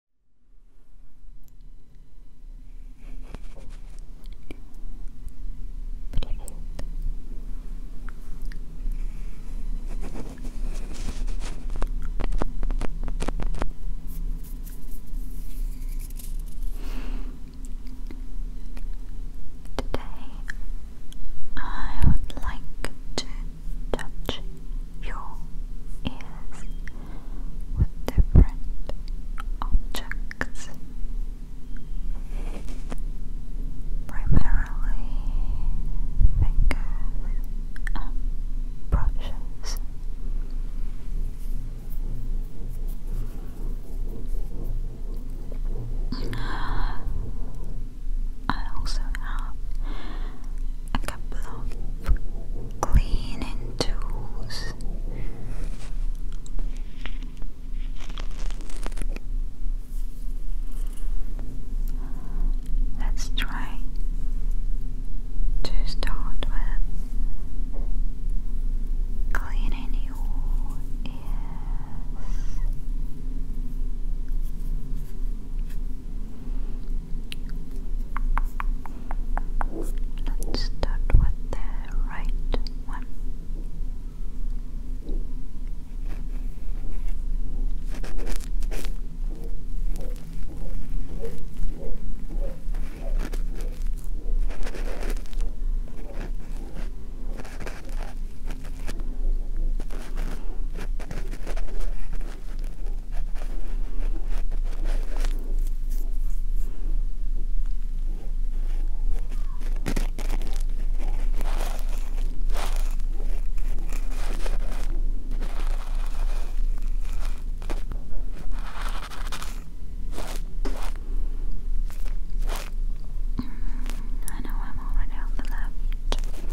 Привет. Today I would like to touch your ears with different objects, primarily fingers and brushes. I also have a couple of cleaning tools. Let's try to start with cleaning your ears. Let's start with the right one. Mm, I know I'm already on the left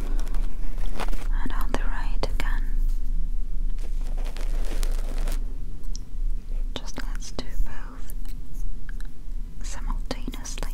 and on the right again. Just let's do both simultaneously.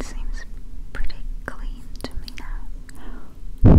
It seems pretty clean explain to me now.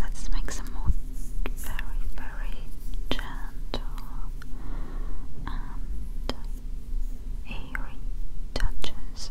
Let's make some more very, very gentle and airy touches.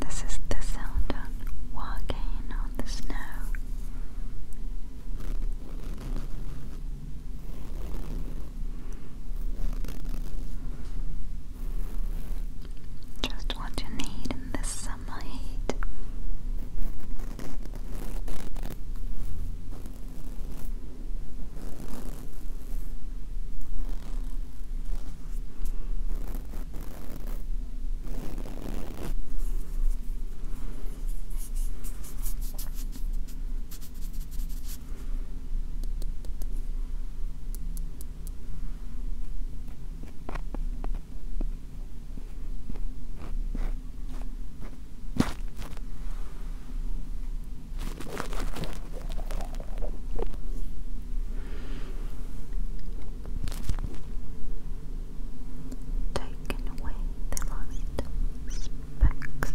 This is the sound of walking on the snow. Just what you need in this summer heat. Taken away the last specs.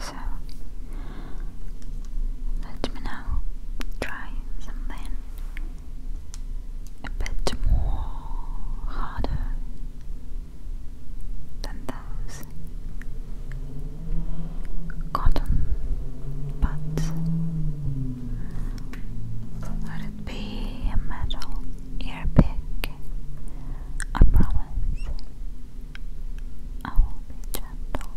So let me now try something a bit more harder than those cotton buds. Could it be a metal ear pick? promise I will be gentle.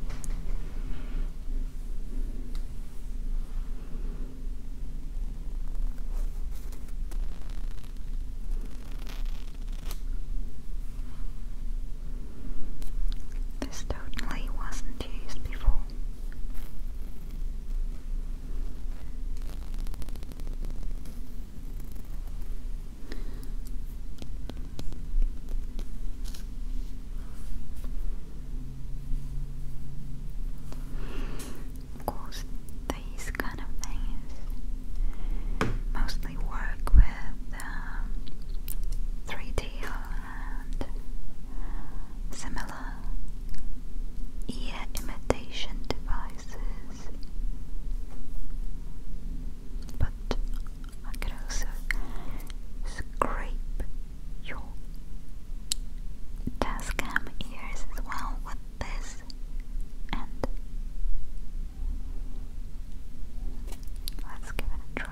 This totally wasn't used before. Of course, these kind of things mostly work with 3D um, and similar ear imitation devices, but I could also scrape your Tascam ears as well with this and let's give it a try.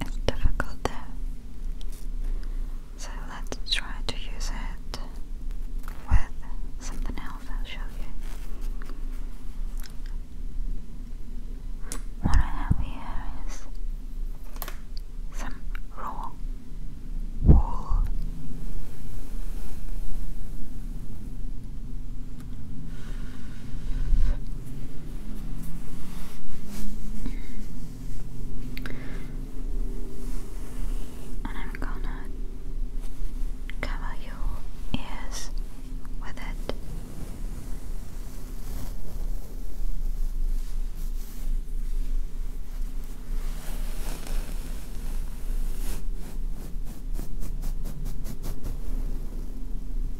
It's difficult there. So let's try to use it with something else I'll show you. What I have here is some raw wool. And I'm gonna cover your ears with it.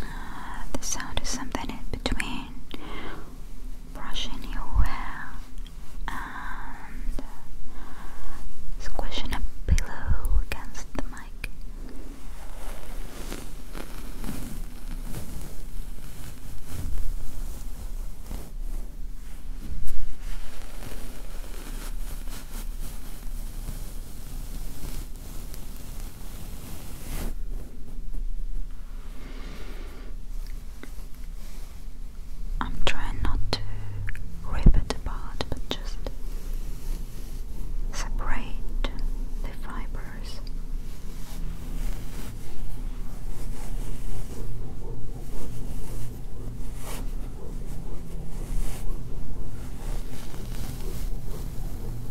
Uh, the sound is something in between brushing your hair and squishing a pillow against the mic. I'm trying not to rip it apart, but just separate the fibers.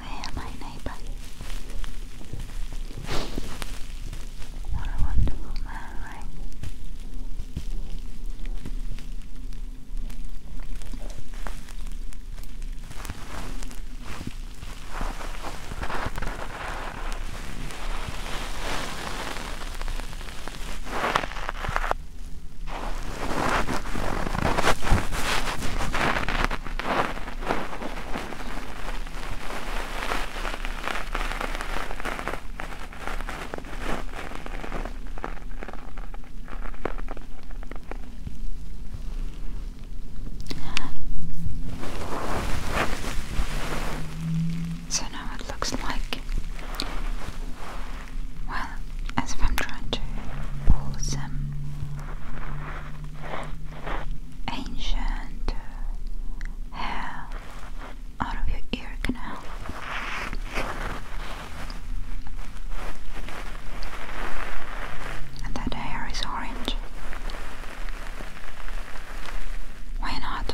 Where, my neighbor? What a wonderful man, right? Thank so now it looks like, well, as if I'm trying to pull some ancient hair out of your ear canal. And that hair is orange. Why not?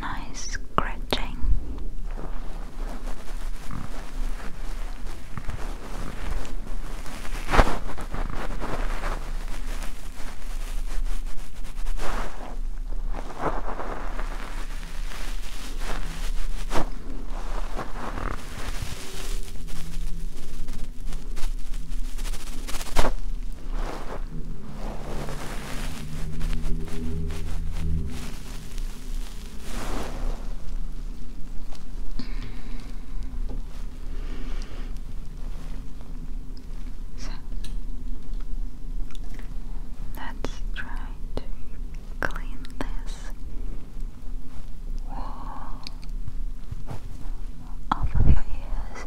Nice scratching. So let's try to clean this wall off of your ears.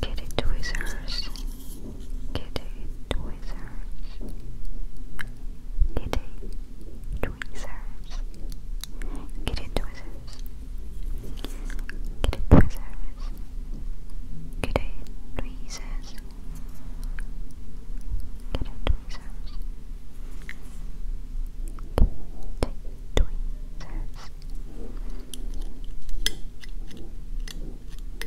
Kitty Tweezers, Kitty Tweezers, Kitty Tweezers, Kitty Tweezers, Kitty Tweezers, Kitty Tweezers, Kitty Tweezers. Kitty tweezers, so,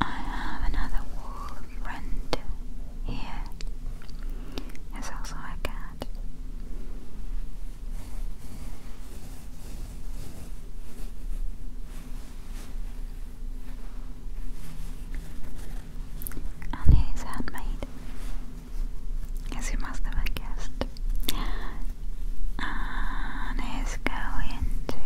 I have another wall friend here. There's also a cat. And handmade, as you must have guessed. And he's going to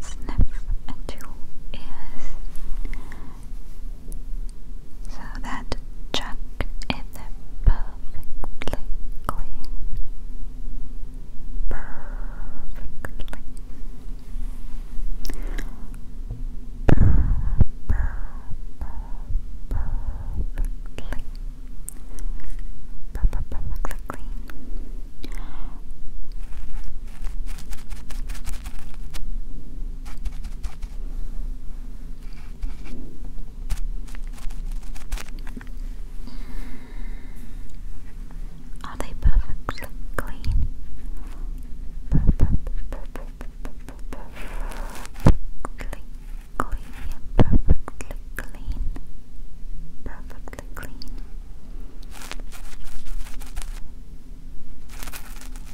sniff at your so that chuck is perfectly clean. Perfectly. perfectly. perfectly are they perfectly clean? Perfectly clean, perfectly clean, perfectly clean.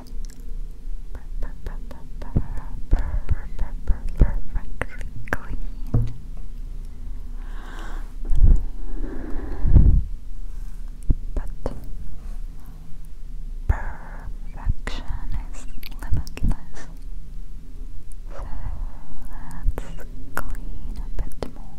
perfectly clean. But perfection is limitless. So let's clean a bit more.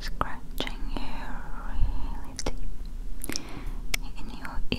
Scratching you really deep in your ear.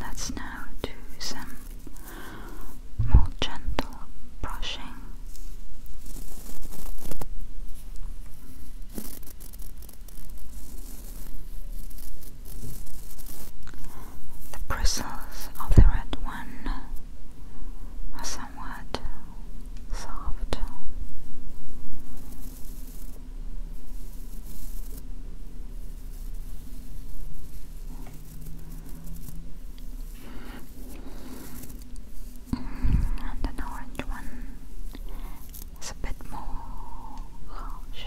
Let's now do some more gentle brushing. The bristles of the red one are somewhat soft. And an orange one it's a bit more harsh.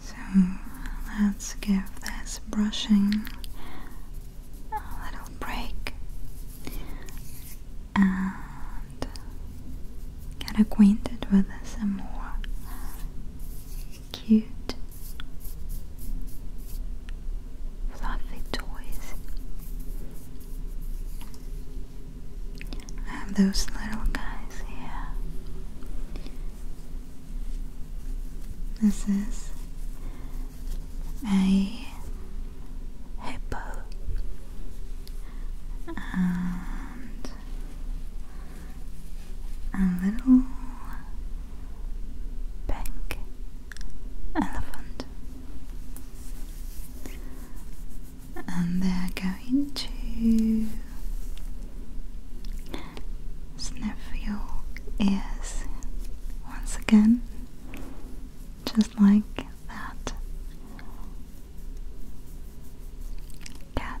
So let's give this brushing a little break and get acquainted with some more cute, fluffy toys. I have those little guys here. This is a hippo. Uh, a little pink elephant, and they're going to sniff your ears once again, just like that cat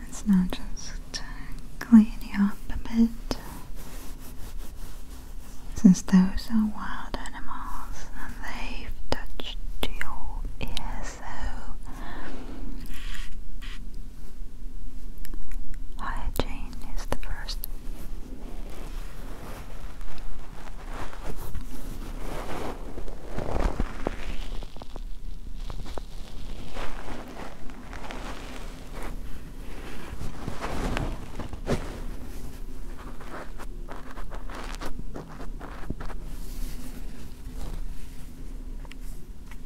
Let's now just clean you up a bit. Since those are wild animals and they've touched your ear, so Hygiene is the first.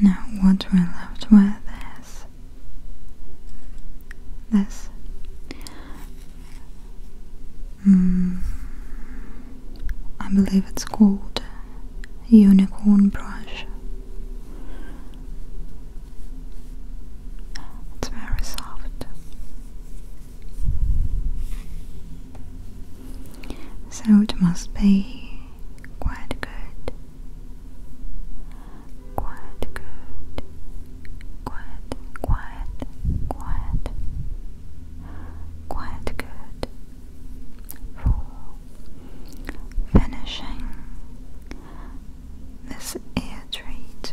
Now, what we're left with is this. Hmm, I believe it's called unicorn brush. It's very soft. So it must be quite good. Quite good. Quite, quite, quite. Quite good for finishing this ear treat.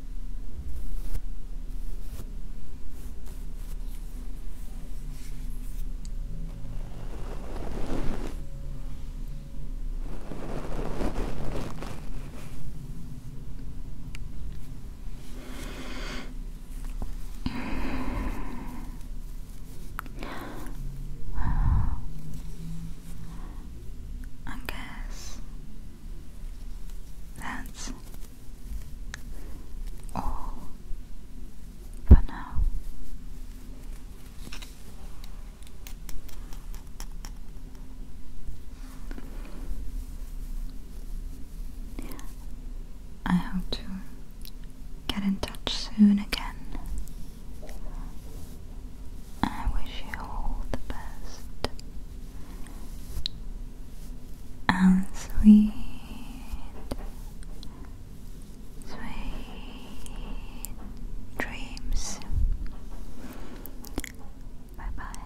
I guess that Oh, all now. I hope to get in touch soon again. I wish you all the best and sweet, sweet dreams. Bye bye.